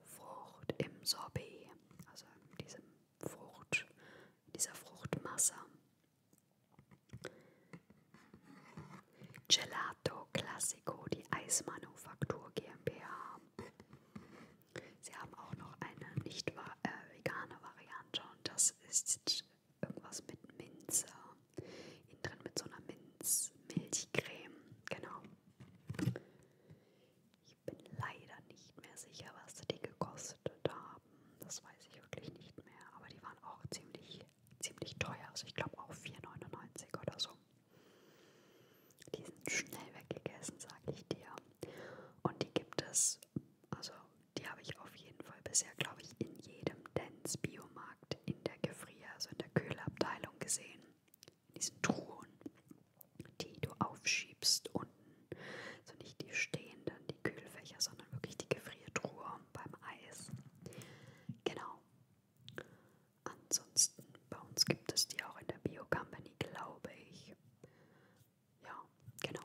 Speaker 1: Frucht im Sorbet, also in, diesem Frucht, in dieser Fruchtmasse. Gelato Classico, die Eismanufaktur GmbH. Sie haben auch noch eine nicht äh, vegane Variante und das ist irgendwas mit Minze. Innen drin mit so einer Minzmilchcreme. Genau. Ich bin leider nicht mehr sicher, was die gekostet haben. Das weiß ich wirklich nicht mehr. Aber die waren auch ziemlich ziemlich teuer. Also ich glaube auch 4,99 oder so. Die sind schnell weggegessen, sage ich dir. Und die gibt es, also die habe ich auf jeden Fall bisher, glaube ich, in jedem Dance Biomarkt in der Gefrier, also in der Kühlabteilung gesehen. In diesen Truhen, die du aufschiebst unten. Also nicht die stehenden, die Kühlfächer, sondern wirklich die Gefriertruhe beim Eis. Genau, Ansonsten, bei uns gibt es die auch in der Bio-Company, glaube ich. Ja, genau.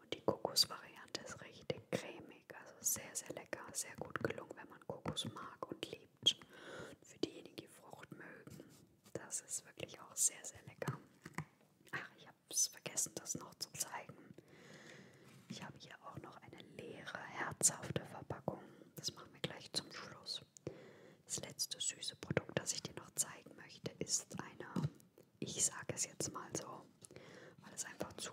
Speaker 1: Und die Kokosvariante ist richtig cremig, also sehr, sehr lecker, sehr gut gelungen, wenn man Kokos mag und liebt gibt. Für diejenigen, die Frucht mögen, das ist wirklich auch sehr, sehr lecker. Ach, ich habe es vergessen, das noch zu zeigen. Ich habe hier auch noch eine leere, herzhafte Verpackung. Das machen wir gleich zum Schluss. Das letzte süße Produkt, das ich dir noch zeigen möchte, ist eine, ich sage es jetzt mal so, weil es einfach zu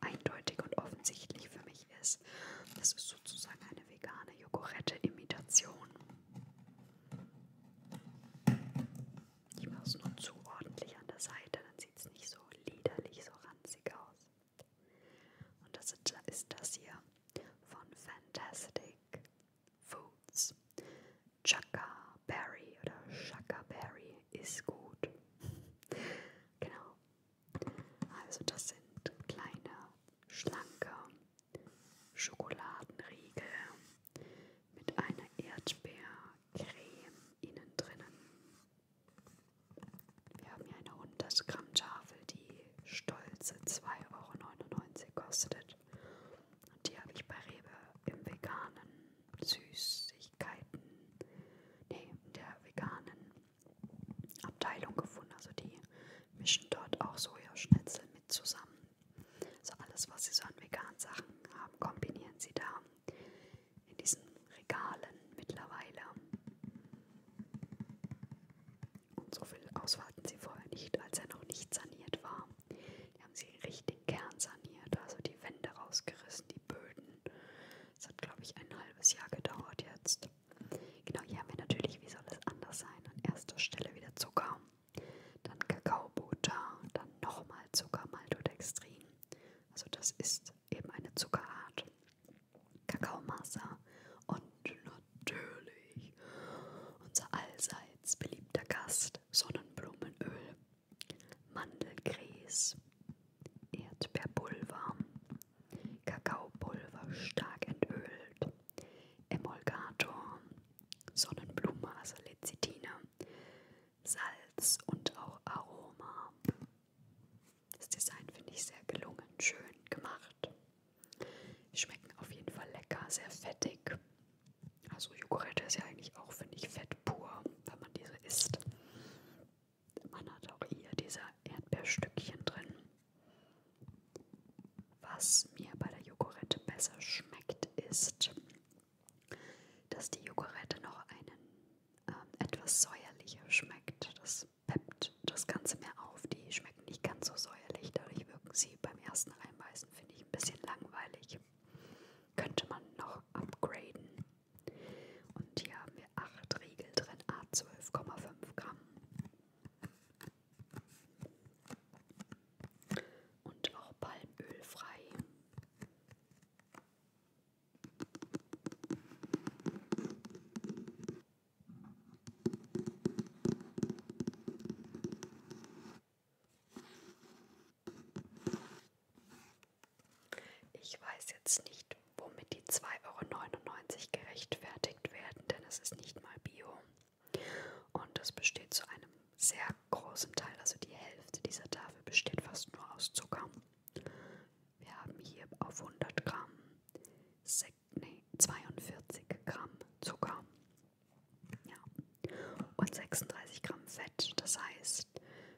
Speaker 1: eindeutig und offensichtlich für mich ist. Das ist sozusagen eine vegane Jogurette-Imitation. Ich mache es nur zu ordentlich an der Seite, dann sieht es nicht so liederlich, so ranzig aus. Und das ist das hier von Fantastic Foods. Chaka Berry oder Chaka Berry ist gut. genau. Also das sind kleine, schlanke Schokoladenriegel mit einer Erdbeercreme innen drinnen. Wir haben hier eine 100 Gramm Tafel, die stolze 2,99 Euro kostet. Und die habe ich bei Rewe im veganen Süßigkeiten, nee, in der veganen Abteilung gefunden. Also die mischen dort auch Sojaschnitzel mit zusammen. Also alles, was sie so an veganen Sachen haben, kombinieren sie da in diesen Regalen mittlerweile. Und so viel Auswahl hatten sie vorher nicht, als er noch nicht saniert war. Die haben sie richtig kernsaniert, also die Wände rausgerissen, die Böden. Es hat, glaube ich, ein halbes Jahr gedauert jetzt. Genau, hier haben wir natürlich, wie soll es anders sein, an erster Stelle wieder Zucker, dann Kakaobutter, dann nochmal Zucker, Maltodextrin. Also das ist eben eine Zuckerart. Kakaomasse und natürlich unser allseits beliebter Gast Sonnenblumenöl, Mandelgrieß, Erdbeerpulver, Kakaopulver stark entölt, Emulgator, Sonnenblumenmasse, Lecithine, Salz und auch Aroma. Das Design finde ich sehr gelungen, schön gemacht. Schmecken auf jeden Fall lecker, sehr fettig. Also Joghurt ist ja eigentlich auch, finde ich, fett pur, wenn man diese isst man hat auch hier diese Erdbeerstückchen drin. Was mir bei der Joghurette besser schmeckt, ist, dass die Joghurette noch einen äh, etwas säuerlicher schmeckt. Das peppt das Ganze mehr auf. Die schmecken nicht ganz so säuerlich, dadurch wirken sie beim ersten Einbeißen, finde ich, ein bisschen langweilig. Könnte man noch upgraden. Und hier haben wir 8 Riegel drin, a 12,5 Gramm. Und auch palmölfrei. Ich weiß jetzt nicht, womit die 2,99 Euro gerechtfertigt werden, denn es ist nicht mal Bio. Und es besteht zu einem sehr großen Teil, also die Hälfte dieser Tafel besteht fast nur aus Zucker. Wir haben hier auf 100 Gramm 6, nee, 42 Gramm Zucker ja. und 36 Gramm Fett. Das heißt,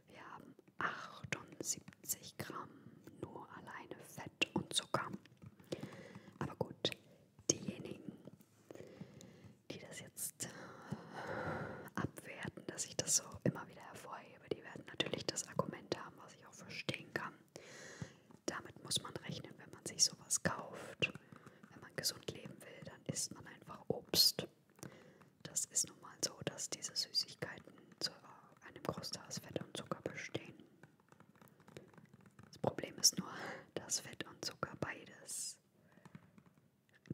Speaker 1: wir haben 78 Gramm nur alleine Fett. Fett und Zucker. Aber gut, diejenigen, die das jetzt äh, abwerten, dass ich das so immer wieder hervorhebe, die werden natürlich das Argument haben, was ich auch verstehen kann. Damit muss man rechnen, wenn man sich sowas kauft. Wenn man gesund leben will, dann isst man einfach Obst. Das ist nun mal so, dass diese Süßigkeiten zu äh, einem Großteil aus Fett und Zucker bestehen. Das Problem ist nur, dass Fett und Zucker beides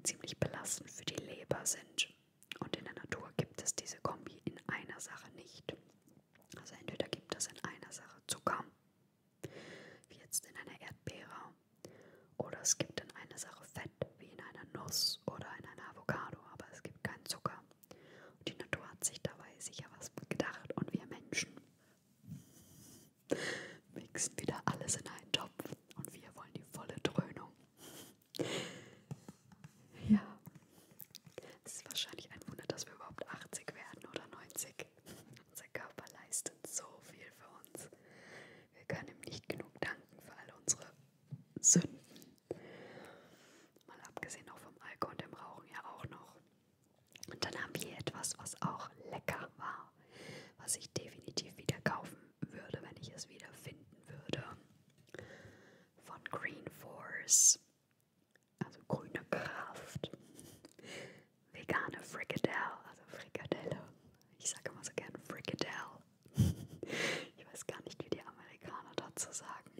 Speaker 1: ziemlich belastend für die Leber sind. Und in der Natur gibt es diese Kombi in einer Sache nicht. Also entweder gibt es in einer Sache Zucker, wie jetzt in einer Erdbeere, oder es gibt in einer Sache Fett, wie in einer Nuss oder in einer Avocado, aber es gibt keinen Zucker. Und die Natur hat sich dabei sicher was gedacht und wir Menschen mixen wieder alles in einen Topf und wir wollen die volle Dröhnung. Ja, es ist wahrscheinlich ein Wunder, dass wir überhaupt 80 werden oder 90. Unser Körper leistet so viel für uns. Wir können ihm nicht genug danken für all unsere Sünden, Mal abgesehen auch vom Alkohol und dem Rauchen ja auch noch. Und dann haben wir hier etwas, was auch lecker war, was ich definitiv wieder kaufen würde, wenn ich es wieder finden würde. Von Green Force. Also grüne Kraft. Vegane Frikadelle, also Frikadelle. Ich sage immer so gern Frikadelle. ich weiß gar nicht, wie die Amerikaner dazu sagen.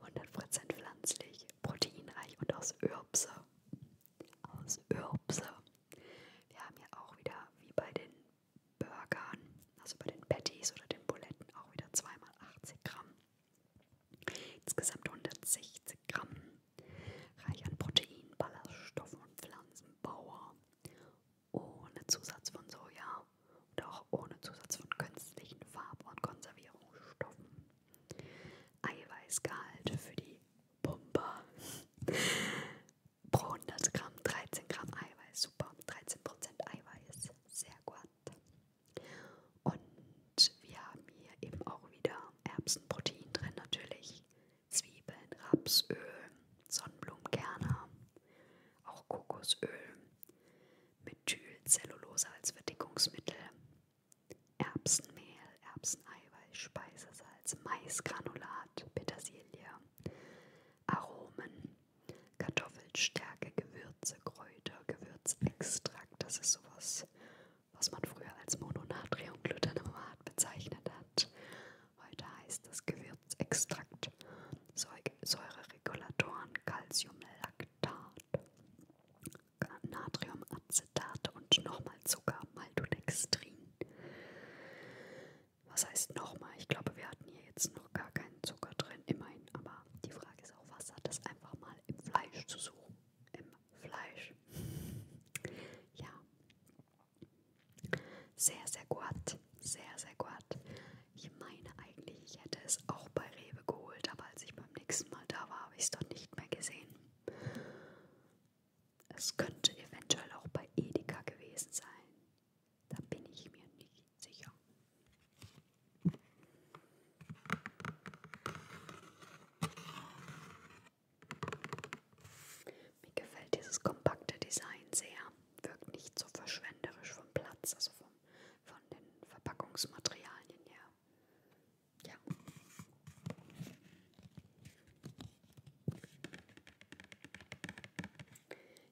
Speaker 1: 100% pflanzlich, proteinreich und aus Ürbse. Aus Ürbse. Wir haben hier auch wieder, wie bei den Burgern, also bei den Patties oder den Buletten, auch wieder 2x80 Gramm. Insgesamt 160 Gramm. Reich an Protein, Ballaststoffen und Pflanzenbauer. Ohne Zusatz von Soja und auch ohne Zusatz von künstlichen Farb- und Konservierungsstoffen. Eiweißgehalt für die Pumper. Pro 100 Gramm 13 Gramm Eiweiß, super. 13% Eiweiß, sehr gut. Und wir haben hier eben auch wieder Erbsenprotein drin natürlich. Zwiebeln, Rapsöl, Sonnenblumenkerne, auch Kokosöl, Methylcellulose als Verdickungsmittel, Erbsenmehl, Erbseneiweiß, Speisesalz, Maisgranulat, Petersilie, Aromen, Kartoffelstärke, Gewürze, Kräuter, Gewürzextrakt, das ist sowas, was man früher als Mononatriumglutamamat bezeichnet hat. Heute heißt das Gewürzextrakt, Säureregulatoren, Calcium, Lack. Laktat, Natriumacetat und nochmal Zucker, Maltodextrin. Was heißt nochmal? Ich glaube, wir hatten hier jetzt noch gar keinen Zucker drin, immerhin. Aber die Frage ist auch, was hat das einfach mal im Fleisch zu suchen? Im Fleisch. Ja. Sehr, sehr gut. Sehr, sehr gut. Ich meine eigentlich, ich hätte es auch bei Rewe geholt, aber als ich beim nächsten Mal da war, habe ich es dann nicht mehr gesehen. Es könnte eventuell auch bei Edeka gewesen sein. Da bin ich mir nicht sicher. Mir gefällt dieses kompakte Design sehr. Wirkt nicht so verschwenderisch vom Platz, also vom von den Verpackungsmaterialien her. Ja.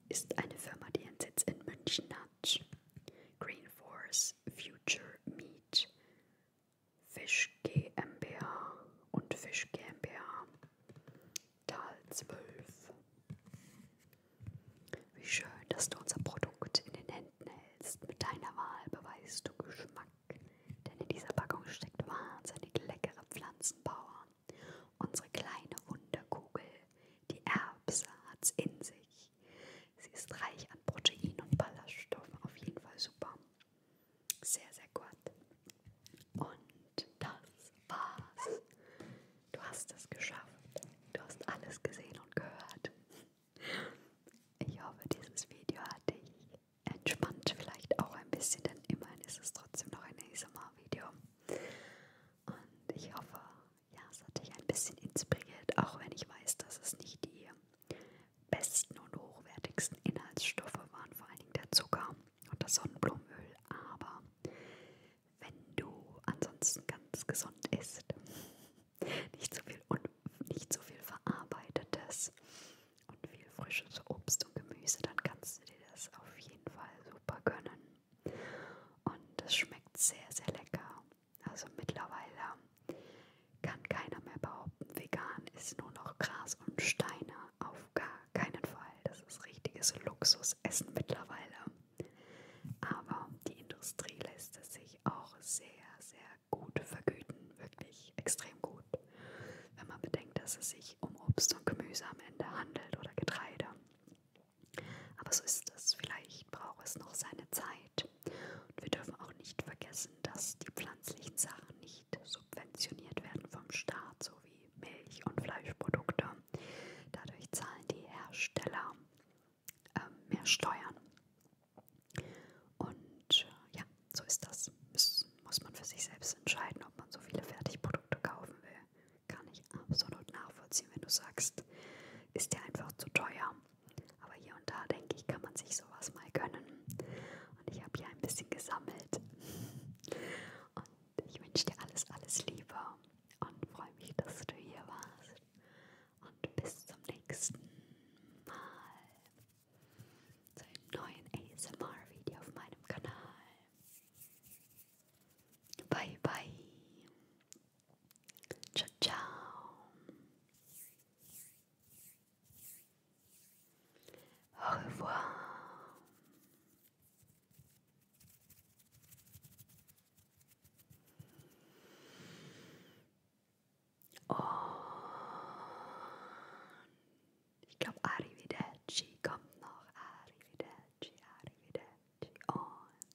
Speaker 1: Ist eine Firma, die ihren Sitz in München hat. Green Force Future Meat, Fisch GmbH und Fisch GmbH, Tal 12. Wie schön, dass du unser Produkt in den Händen hältst. Mit deiner Wahl beweist du Geschmack, denn in dieser Packung steckt wahnsinnig leckere Pflanzenpower. Unsere kleine Wunderkugel, die Erbse, hat's in sich. Sie ist reich an Protein und Ballaststoffen, auf jeden Fall super. Sehr, sehr gut. Und das war's Du hast es geschafft. Du hast alles gesehen und gehört. Ich hoffe, dieses Video hat dich entspannt, vielleicht auch ein bisschen, denn immerhin ist es trotzdem noch ein ASMR-Video. Und ich hoffe, ja, es hat dich ein bisschen inspiriert, auch wenn ich weiß, dass es nicht die besten und hochwertigsten Inhaltsstoffe waren, vor allen Dingen der Zucker und das Sonnenblumenöl. Aber wenn du ansonsten ganz gesund isst, nicht so viel, und nicht so viel verarbeitetes und viel frisches Obst und Gemüse, dann kannst du dir das auf jeden Fall super gönnen. Und es schmeckt sehr, sehr lecker. Also mittlerweile kann keiner mehr behaupten, vegan ist nur noch Gras und Steine. Auf gar keinen Fall. Das ist richtiges Luxusessen mittlerweile. Aber die Industrie lässt es sich auch sehr, sehr gut vergüten. Wirklich extrem gut. Wenn man bedenkt, dass es sich um Obst und Gemüse am Ende handelt oder Getreide. Aber so ist es. Vielleicht braucht es noch seine Zeit. Und wir dürfen auch nicht vergessen, dass die pflanzlichen Sachen nicht subventioniert werden vom Staat, so wie Milch- und Fleischprodukte. Dadurch zahlen die Hersteller ähm, mehr steuern. Und äh, ja, so ist das. Muss, muss man für sich selbst entscheiden, ob man so viele Fertigprodukte kaufen will. Kann ich absolut nachvollziehen, wenn du sagst, ist der einfach zu teuer. Aber hier und da, denke ich, kann man sich sowas mal gönnen. Und ich habe hier ein bisschen gesammelt. Und ich wünsche dir alles, alles Liebe und freue mich, dass du hier warst und bis zum nächsten Mal zu einem neuen ASMR-Video auf meinem Kanal. Bye bye. Ciao, ciao. Au revoir. Und ich glaube, Arrivederci kommt noch. Arrivederci, Arrivederci. Und